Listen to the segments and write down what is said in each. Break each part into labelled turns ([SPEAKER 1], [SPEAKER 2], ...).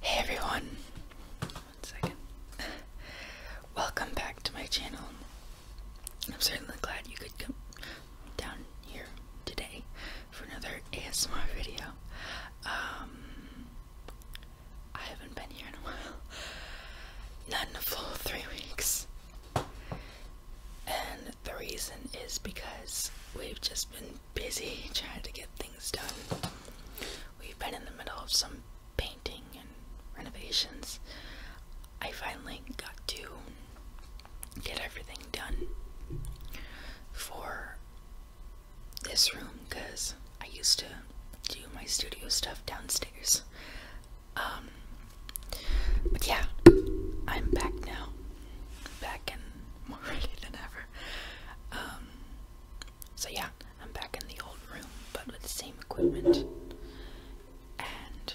[SPEAKER 1] Hey everyone, Welcome back to my channel. I'm certainly glad you could come down here today for another ASMR video. Um, I haven't been here in a while. None full three weeks. And the reason is because we've just been busy trying to get things done. We've been in the middle of some painting and renovations. I finally got to get everything done for this room because I used to do my studio stuff downstairs. Um, but yeah, I'm back now. Back in more ready than ever. Um, so yeah, I'm back in the old room, but with the same equipment. And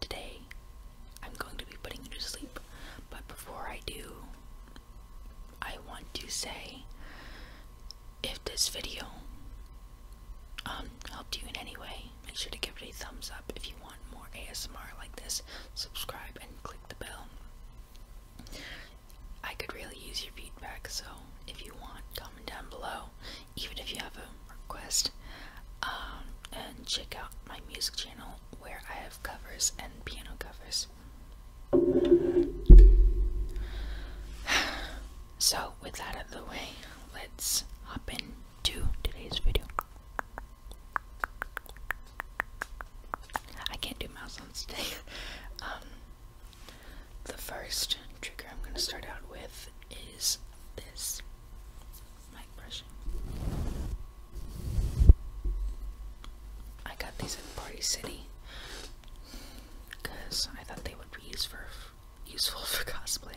[SPEAKER 1] today, I'm going to be putting you to sleep. But before I do, I want to say if this video um, helped you in any way, make sure to give it a thumbs up if you want more ASMR like this. Subscribe and click the bell. I could really use your feedback, so if you want, comment down below, even if you have a request. Um, and check out my music channel where I have covers and piano covers. So, with that out of the way, let's hop into today's video. I can't do mouse sounds today. Um, the first trigger I'm going to start out with is this mic brushing. I got these at Party City because I thought they would be useful for cosplay.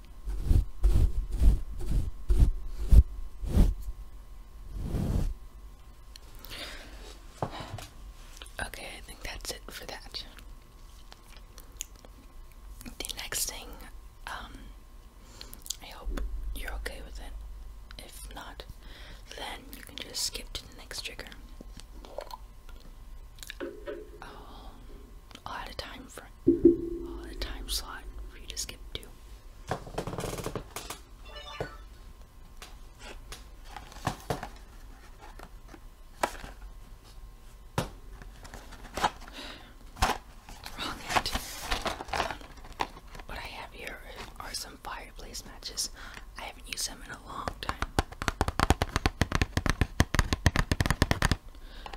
[SPEAKER 1] Okay, I think that's it for that. The next thing, um, I hope you're okay with it. If not, then you can just skip to the next trigger. I'll, oh, i time time time slot you to skip to. Wrong end. what I have here are some fireplace matches. I haven't used them in a long time.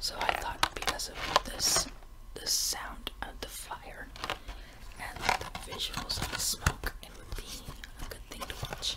[SPEAKER 1] So I thought because of this, the sound of the fire and the visuals of the smoke, it would be a good thing to watch.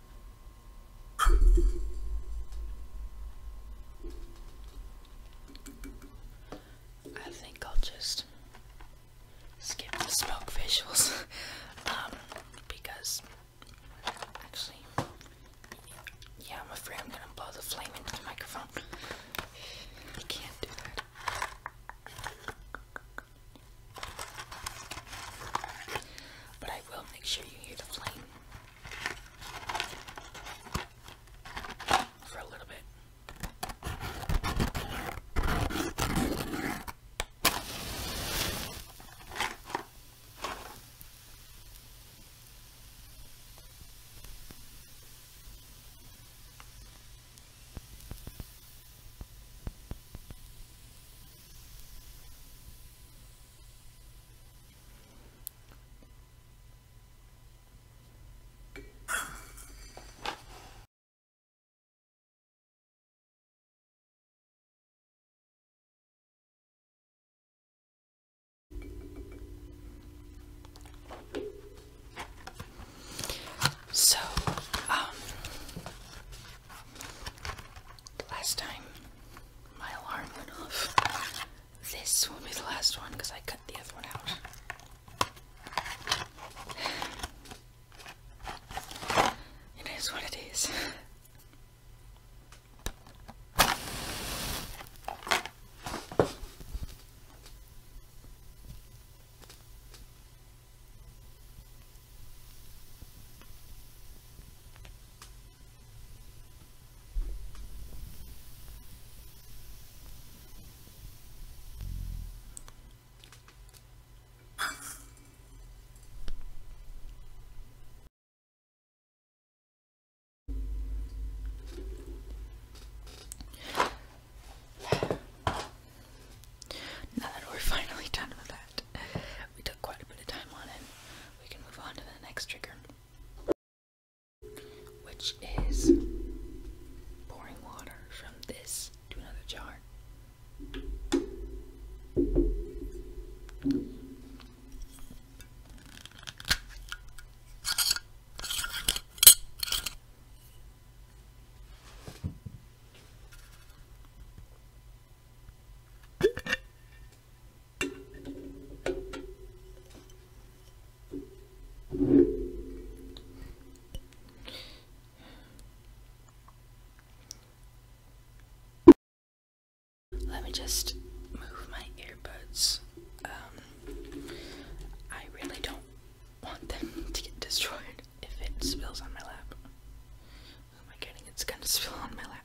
[SPEAKER 1] I think I'll just skip the smoke visuals, um, because actually, yeah, I'm afraid I'm gonna blow the flame into the microphone. I can't do that. But I will make sure you hear the flame for a little bit. So, um, last time my alarm went off. This will be the last one because I cut the other one out. It is what it is. Now that we're finally done with that, we took quite a bit of time on it. We can move on to the next trigger which is pouring water from this to another jar. Let me just move my earbuds. Um, I really don't want them to get destroyed if it spills on my lap. Oh my goodness, it's gonna spill on my lap.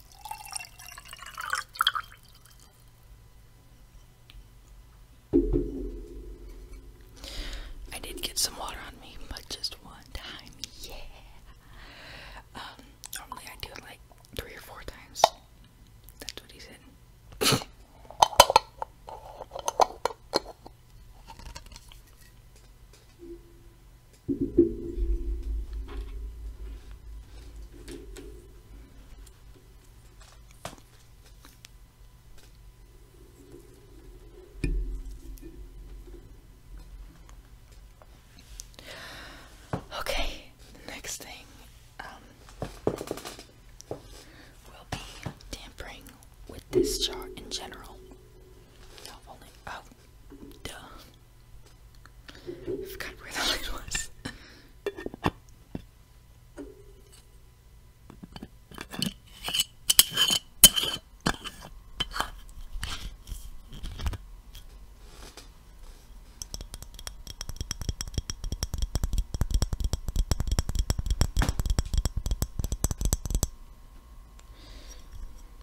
[SPEAKER 1] I did get some water on me, but just one time, yeah. Um, normally I do it like three or four times. That's what he said. Okay, the next thing um, will be tampering with this jar in general. Not only, oh, Duh. I forgot where the light was.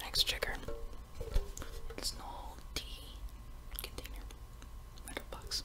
[SPEAKER 1] Next trigger. It's an old tea container. Like a box.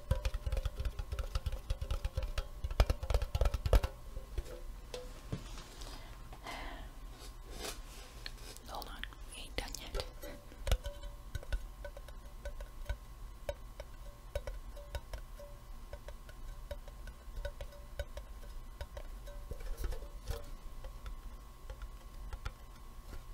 [SPEAKER 1] Hold on, ain't done yet.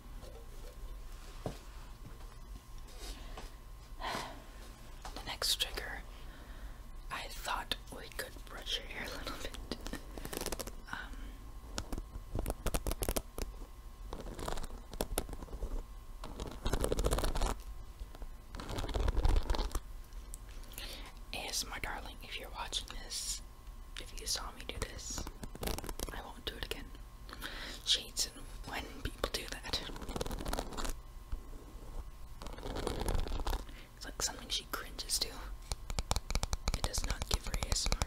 [SPEAKER 1] The next trigger, I thought we could brush your hair a little bit. is um, my darling, if you're watching this, if you saw me do this, I won't do it again. Shades and when people do that. It's like something she cringes to. It does not give her a ASMR.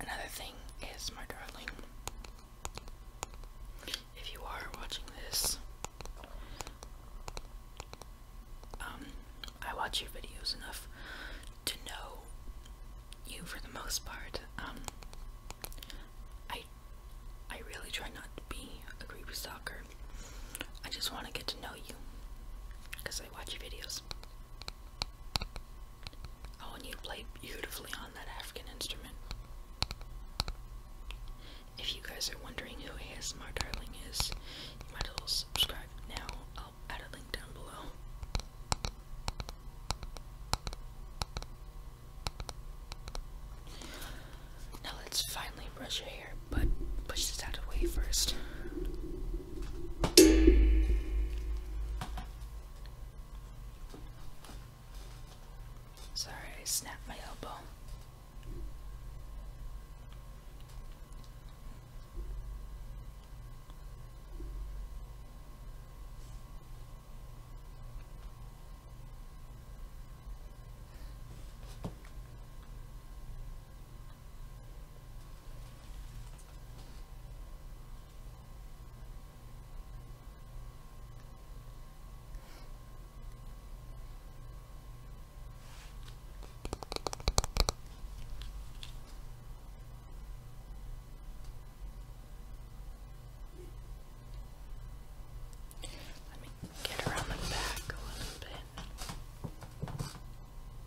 [SPEAKER 1] Another thing is, my darling, if you are watching this, um, I watch your videos enough to know you for the most part. Um, I, I really try not to be a creepy stalker. I just want to get to know you because I watch your videos. Oh, and you play beautifully on that African instrument. If you guys are wondering who ASMR Darling is, you might as well subscribe now. I'll add a link down below. Now let's finally brush your hair, but push this out of the way first. Sorry, I snapped my elbow. Let me get around the back a little bit.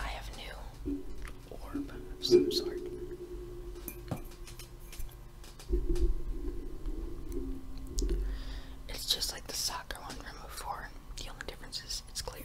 [SPEAKER 1] I have new orb of some sort. It's just like the soccer one from before. The only difference is it's clear.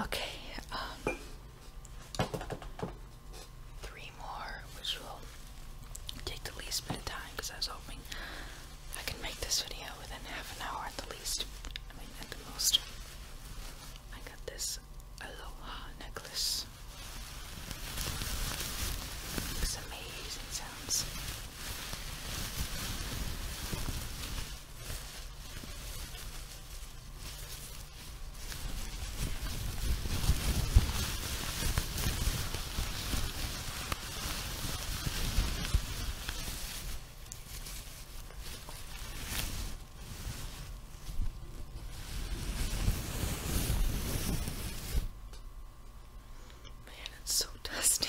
[SPEAKER 1] Okay, um, three more, which will take the least bit of time because I was hoping I can make this video within half an hour at the least. I mean, at the most. I got this aloha necklace sounds. It's amazing sounds. Man, it's so dusty.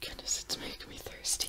[SPEAKER 1] Goodness, it's making me thirsty.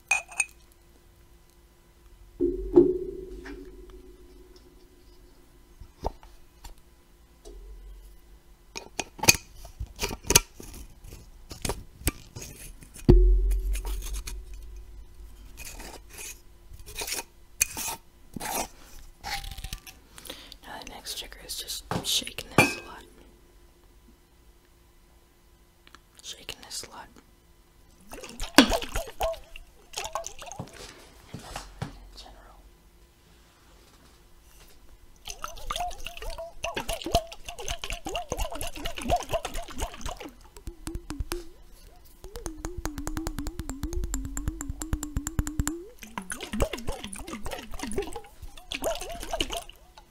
[SPEAKER 1] Now the next trigger is just shaking this a lot. Shaking this slut.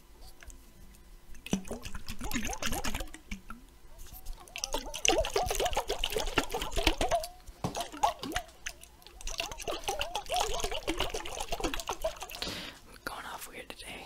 [SPEAKER 1] We're going off weird today.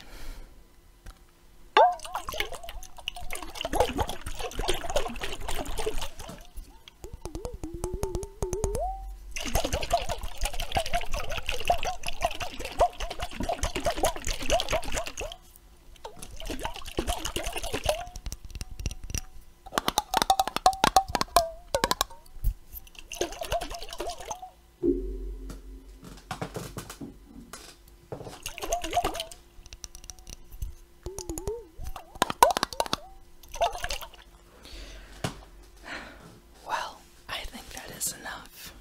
[SPEAKER 1] Well, I think that is enough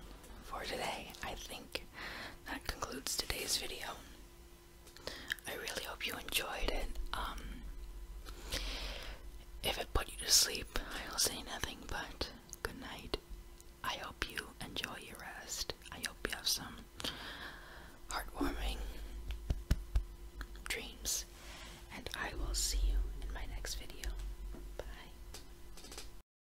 [SPEAKER 1] for today. I think that concludes today's video. I really hope you enjoyed it. Um, if it put you to sleep, I'll say nothing but good night. I hope you enjoy your rest. I hope you have some heartwarming dreams. And I will see you in my next video. Bye.